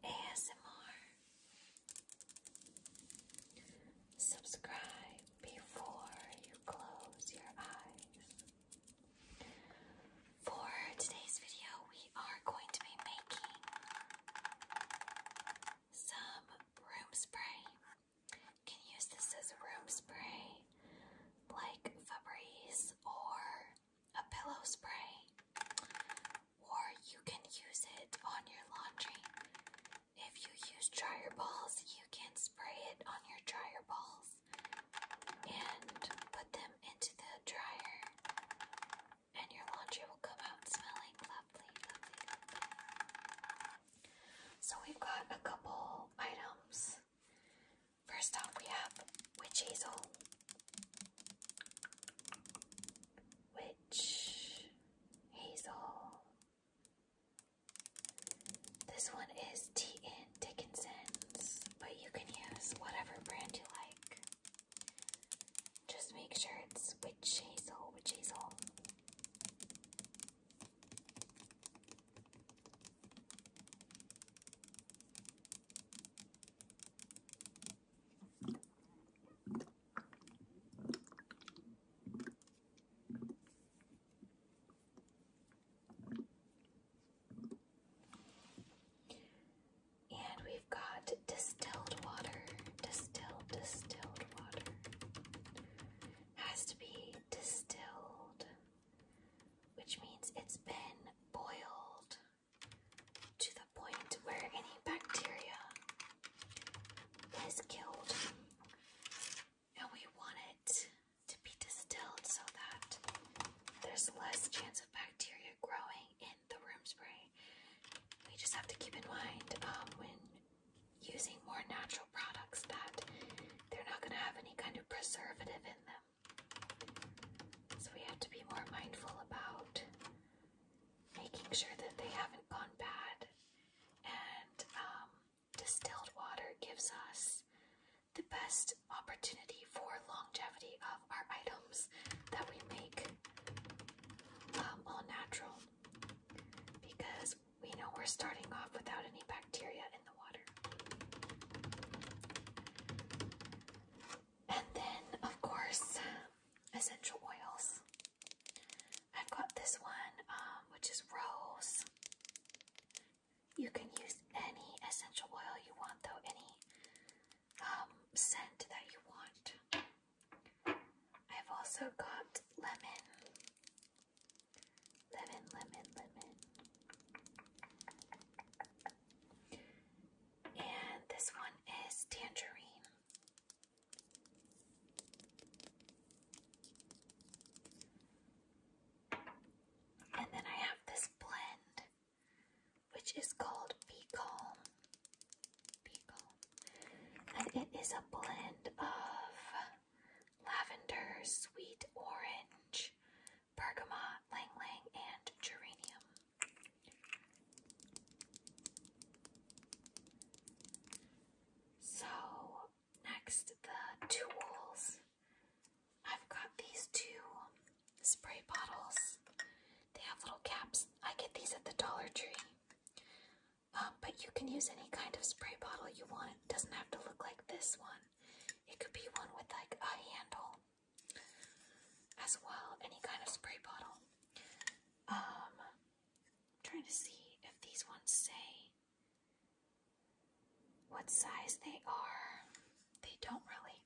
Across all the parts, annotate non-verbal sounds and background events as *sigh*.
ASMR. Subscribe before you close your eyes. For today's video, we are going to be making some room spray. can use this as room spray like Febreze or a pillow spray, or you can use it on your laundry. If you use dryer balls, you can spray it on your dryer balls and put them into the dryer, and your laundry will come out smelling lovely, So, we've got a couple items. First off, we have witch hazel. Witch, Hazel. This one is T.N. Dickinson's, but you can use whatever brand you like. Just make sure it's Witch Hazel, Witch Hazel. And we've got distilled water. Distilled, distilled water. Has to be distilled, which means it's been boiled to the point where any bacteria is killed. And we want it to be distilled so that there's less chance of bacteria growing in the room spray. We just have to keep in mind um, when using more natural products that they're not going to have any kind of preservative in them. So we have to be more mindful about making sure that they haven't gone bad. And um, distilled water gives us the best opportunity for longevity of our items that we make um, all natural because we know we're starting off without any bacteria in the water. And then, of course, essential oils. I've got this one, um, which is rose. You can use any essential oil you want, though, any um, scent that you want. I've also got lemon. Lemon, lemon, lemon. And this one is tangerine. And then I have this blend, which is called Be Calm. Be Calm. And it is a blend of lavender, sweet orange, bergamot, lang lang, and geranium. So, next, the tools. I've got these two spray bottles. They have little caps. I get these at the Dollar Tree. Um, but you can use any kind of spray bottle you want. doesn't have to look like this one. It could be one with like a handle as well, any kind of spray bottle. Um, I'm trying to see if these ones say what size they are. They don't really.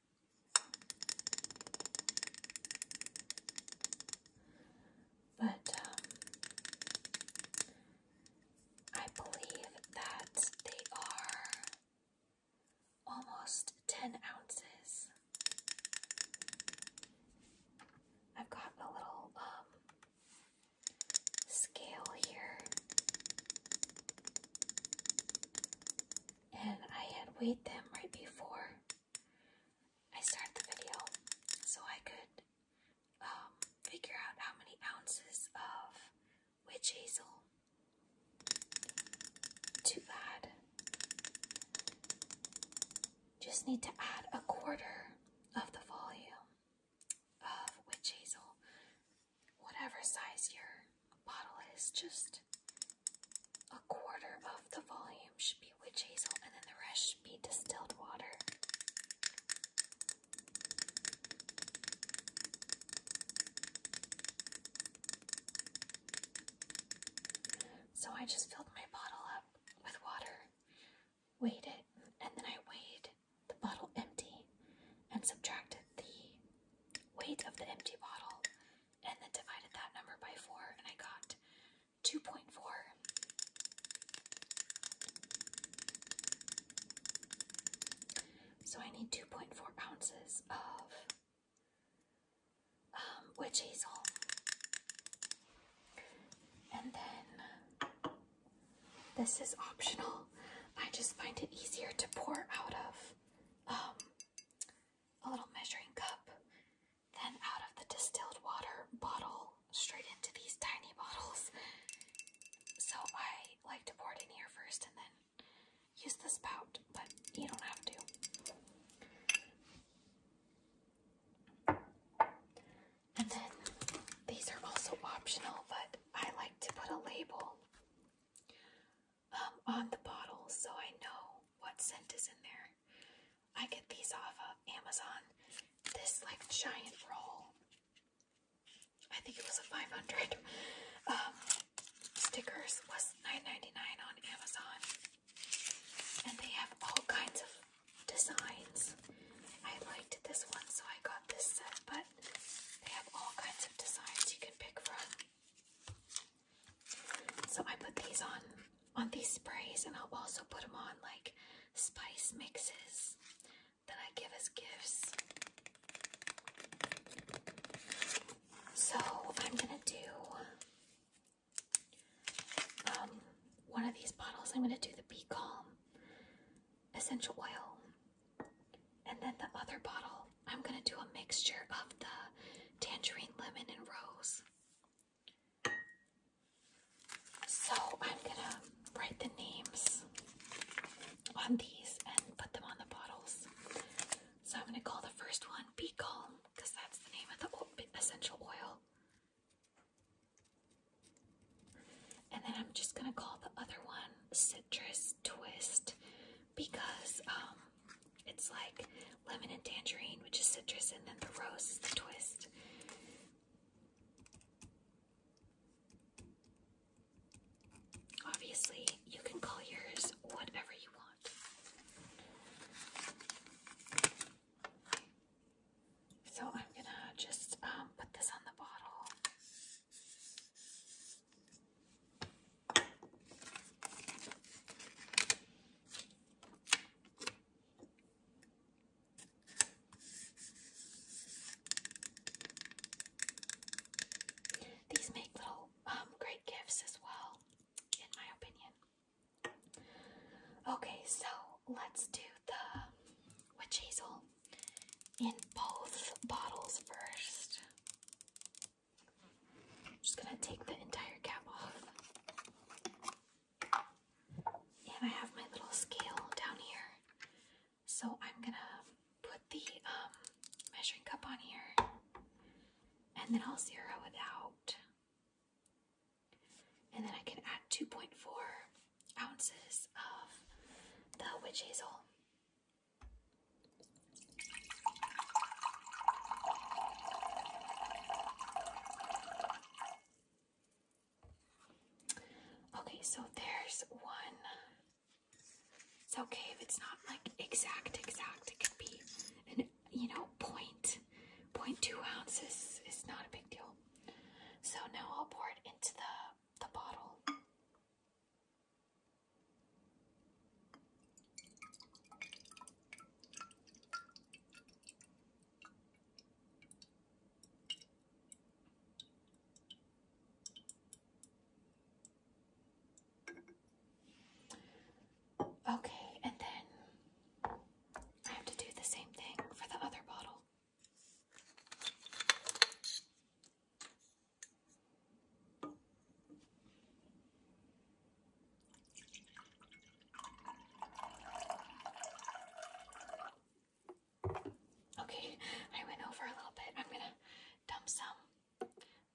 But um, I believe that they are almost 10 ounces. I've got a little um, scale here, and I had weighed them right before I started the video so I could um, figure out how many ounces of Witch hazel. Too bad. Just need to add a quarter of the volume of witch hazel. Whatever size your bottle is, just a quarter of the volume should be witch hazel, and then the rest should be distilled water. So I just filled my bottle up with water, weighed it, and then I weighed the bottle empty and subtracted the weight of the empty bottle and then divided that number by four, and I got 2.4. So I need 2.4 ounces of um, witch hazel. And then this is optional. I just find it easier to pour out of um, a little measuring cup than out of the distilled water bottle straight into these tiny bottles. So I like to pour it in here first and then use the spout, but you don't have to. And then these are also optional, but I like to put a label um, on the bottle so I know what scent is in there. I get these off of Amazon. This like giant roll I think it was a 500 um, stickers was 9.99 on Amazon, and they have all kinds of designs. I liked this one, so I got this set, but they have all kinds of designs you can pick from. So I put these on on these sprays, and I'll also put them on like spice mixes that I give as gifts. So I'm gonna do um one of these bottles. I'm gonna do the Be Calm essential oil, and then the other bottle. I'm gonna do a mixture of the tangerine, lemon, and rose. So I'm gonna write the names on these and put them on the bottles. So I'm going to call the first one Be Calm because that's the name of the essential oil. And then I'm just going to call the other one Citrus Twist because um, it's like lemon and tangerine, which is citrus, and then the rose is the twist. Obviously, you can call yours whatever you want. So I'm gonna just um, put this on the bottle. These make little um, great gifts as well, in my opinion. Okay, so let's do the witch hazel in both bottles 1st just gonna take the entire cap off. And I have my little scale down here so I'm gonna put the um, measuring cup on here and then I'll zero it out. And then I can add 2.4 ounces of the witch hazel. Okay, so there's one. It's okay if it's not like exact, exact. It could be and you know point, point two ounces is not a big deal. So now I'll pour it into the the bottle. Okay, and then I have to do the same thing for the other bottle. Okay, I went over a little bit. I'm gonna dump some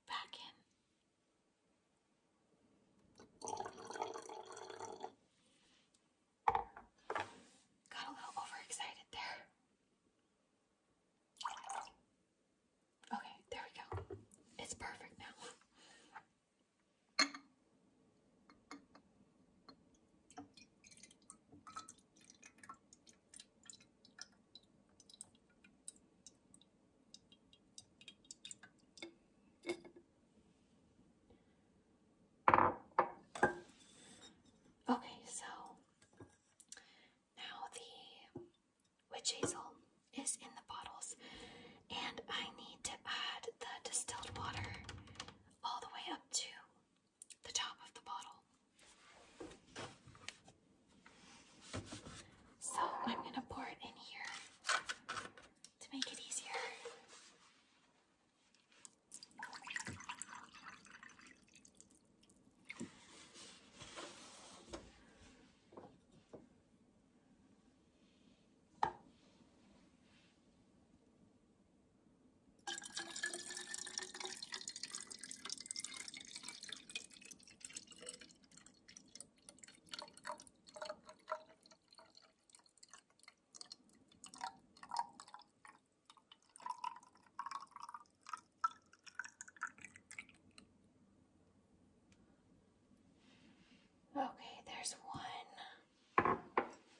back in. Got a little overexcited there. Okay, there we go. It's perfect now. Okay, so now the witch hazel is in the bottles, and I need to add the distilled water all the way up to the top of the bottle. So I'm going to pour it in here to make it easier. Okay, there's one.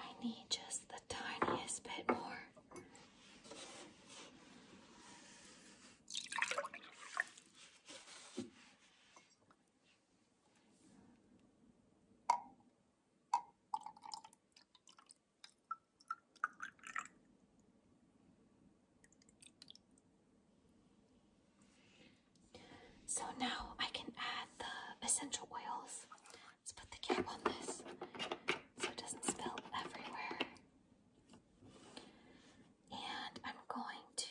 I need just the tiniest bit more. So now I can add the essential oils. Let's put the cap on this so it doesn't spill everywhere. And I'm going to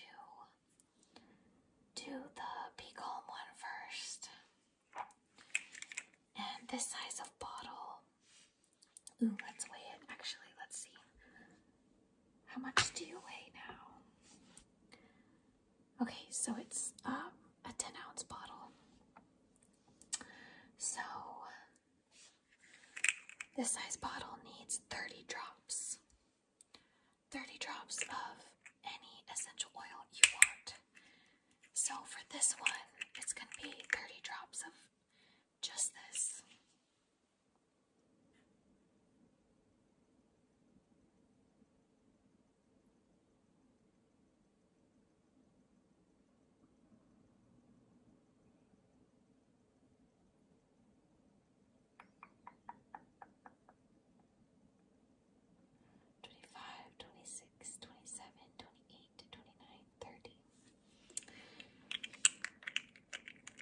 do the Peacalm one first. And this size of bottle. Ooh, let's weigh it. Actually, let's see. How much do you weigh now? Okay, so it's um, a 10 ounce bottle. So this size bottle needs 30 drops. 30 drops of any essential oil you want. So for this one, it's going to be 30 drops of just this. 25, 26, 27, 28, 29, 30.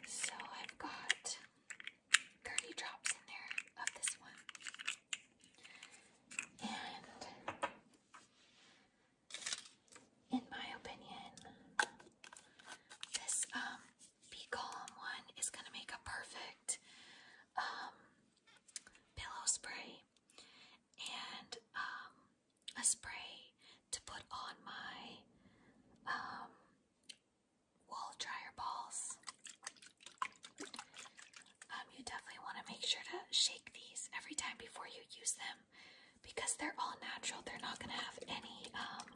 So I've got 30 drops in there of this one. And in my opinion, this um Be one is gonna make a perfect um, pillow spray and um, a spray to put on my um, dryer balls. Um, you definitely want to make sure to shake these every time before you use them because they're all natural. They're not going to have any um,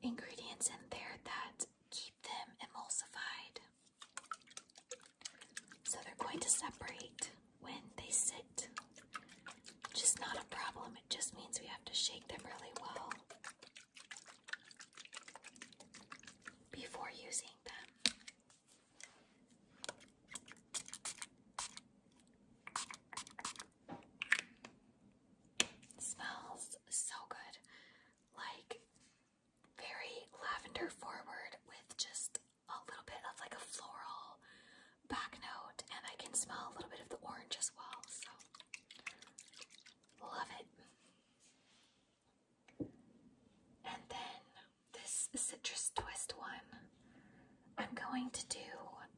ingredients in there that keep them emulsified. So they're going to separate when they sit. Which not a problem, it just means we have to shake them really well before using them. smells so good, like very lavender forward with just a little bit of like a floral back note, and I can smell a little bit of the orange as well. So, love it. And then this citrus twist one, I'm going to do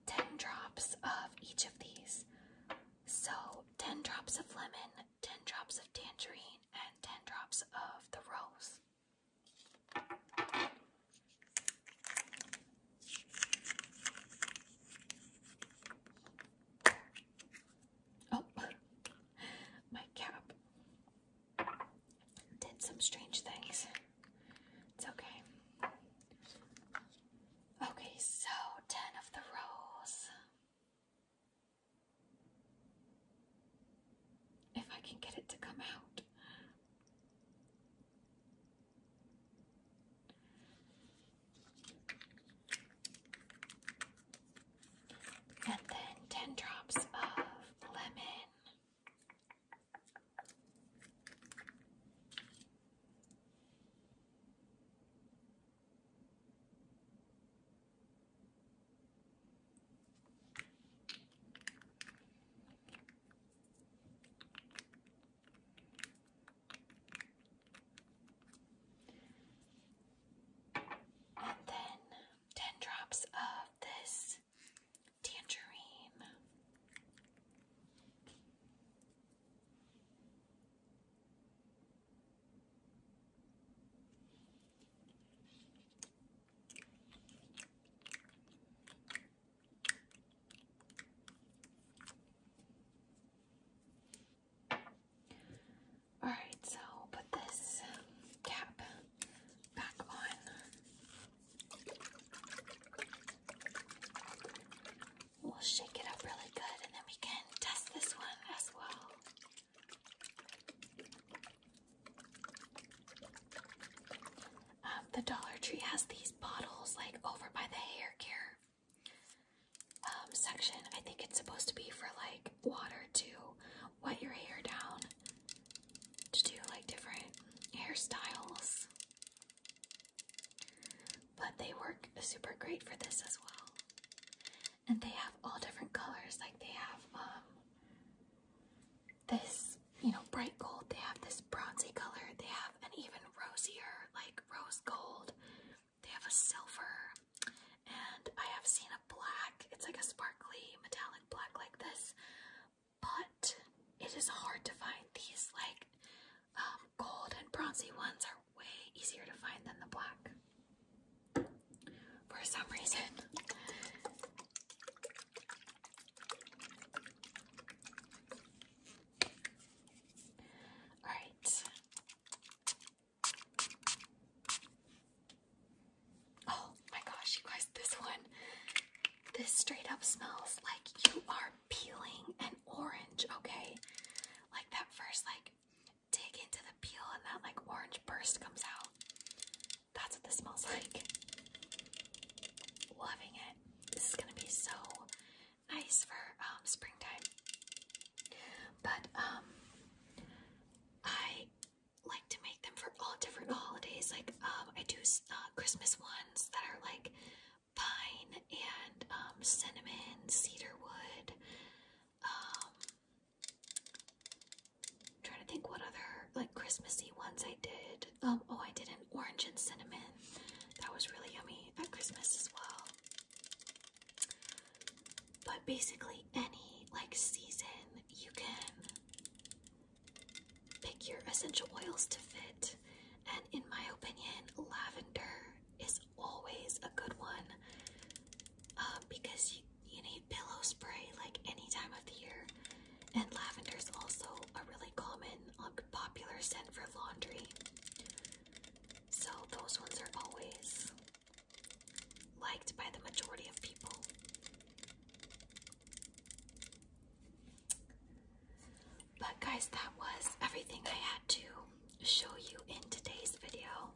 10 drops of each of these. So, 10 drops of lemon, 10 drops of tangerine, and 10 drops of the rose. Oh, *laughs* my cap did some strange things. It's okay. Okay, so 10 of the rolls. If I can get it to come out. And then 10 drops of lemon. And then 10 drops of this tangerine. All right, so put this um, cap back on. We'll shake it up really good and then we can test this one as well. Um, the Dollar Tree has these bottles like over by the hair care um, section. I think it's supposed to be for like water to wet your hair down to do like different hairstyles. But they work super great for this as well. And they have all different colors. Like they have um, this, you know, bright gold. They have this bronzy color. They have an even rosier, like rose gold. They have a silver. And I have seen a black. It's like a sparkly metallic black like this. But it is hard to find. These like um, gold and bronzy ones are way easier to find than the black for some reason. All right. Oh my gosh, you guys, this one, this straight up smells like you are peeling an orange, okay? Like that first, like, dig into the peel and that, like, orange burst comes out. That's what this smells like. Loving it. This is gonna be so nice for um, springtime. But um, I like to make them for all different holidays. Like um, I do uh, Christmas ones that are like pine and um, cinnamon, cedar Um, I'm trying to think what other like Christmassy ones I did. Um, oh, I did an orange and cinnamon. That was really yummy at Christmas as well. But basically, any like season, you can pick your essential oils to fit. And in my opinion, lavender is always a good one uh, because you, you need pillow spray like any time of the year. And lavender is also a really common, um, popular scent for laundry. So those ones are always liked by the majority of people. But guys, that was everything I had to show you in today's video.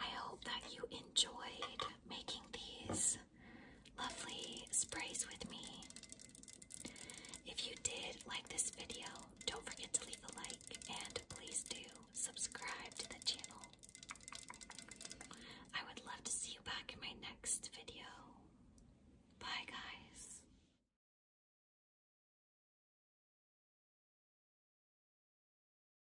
I hope that you enjoyed making these lovely sprays with me. If you did like this video, don't forget to leave a like and please do subscribe to the channel. I would love to see you back in my next video. Bye, guys.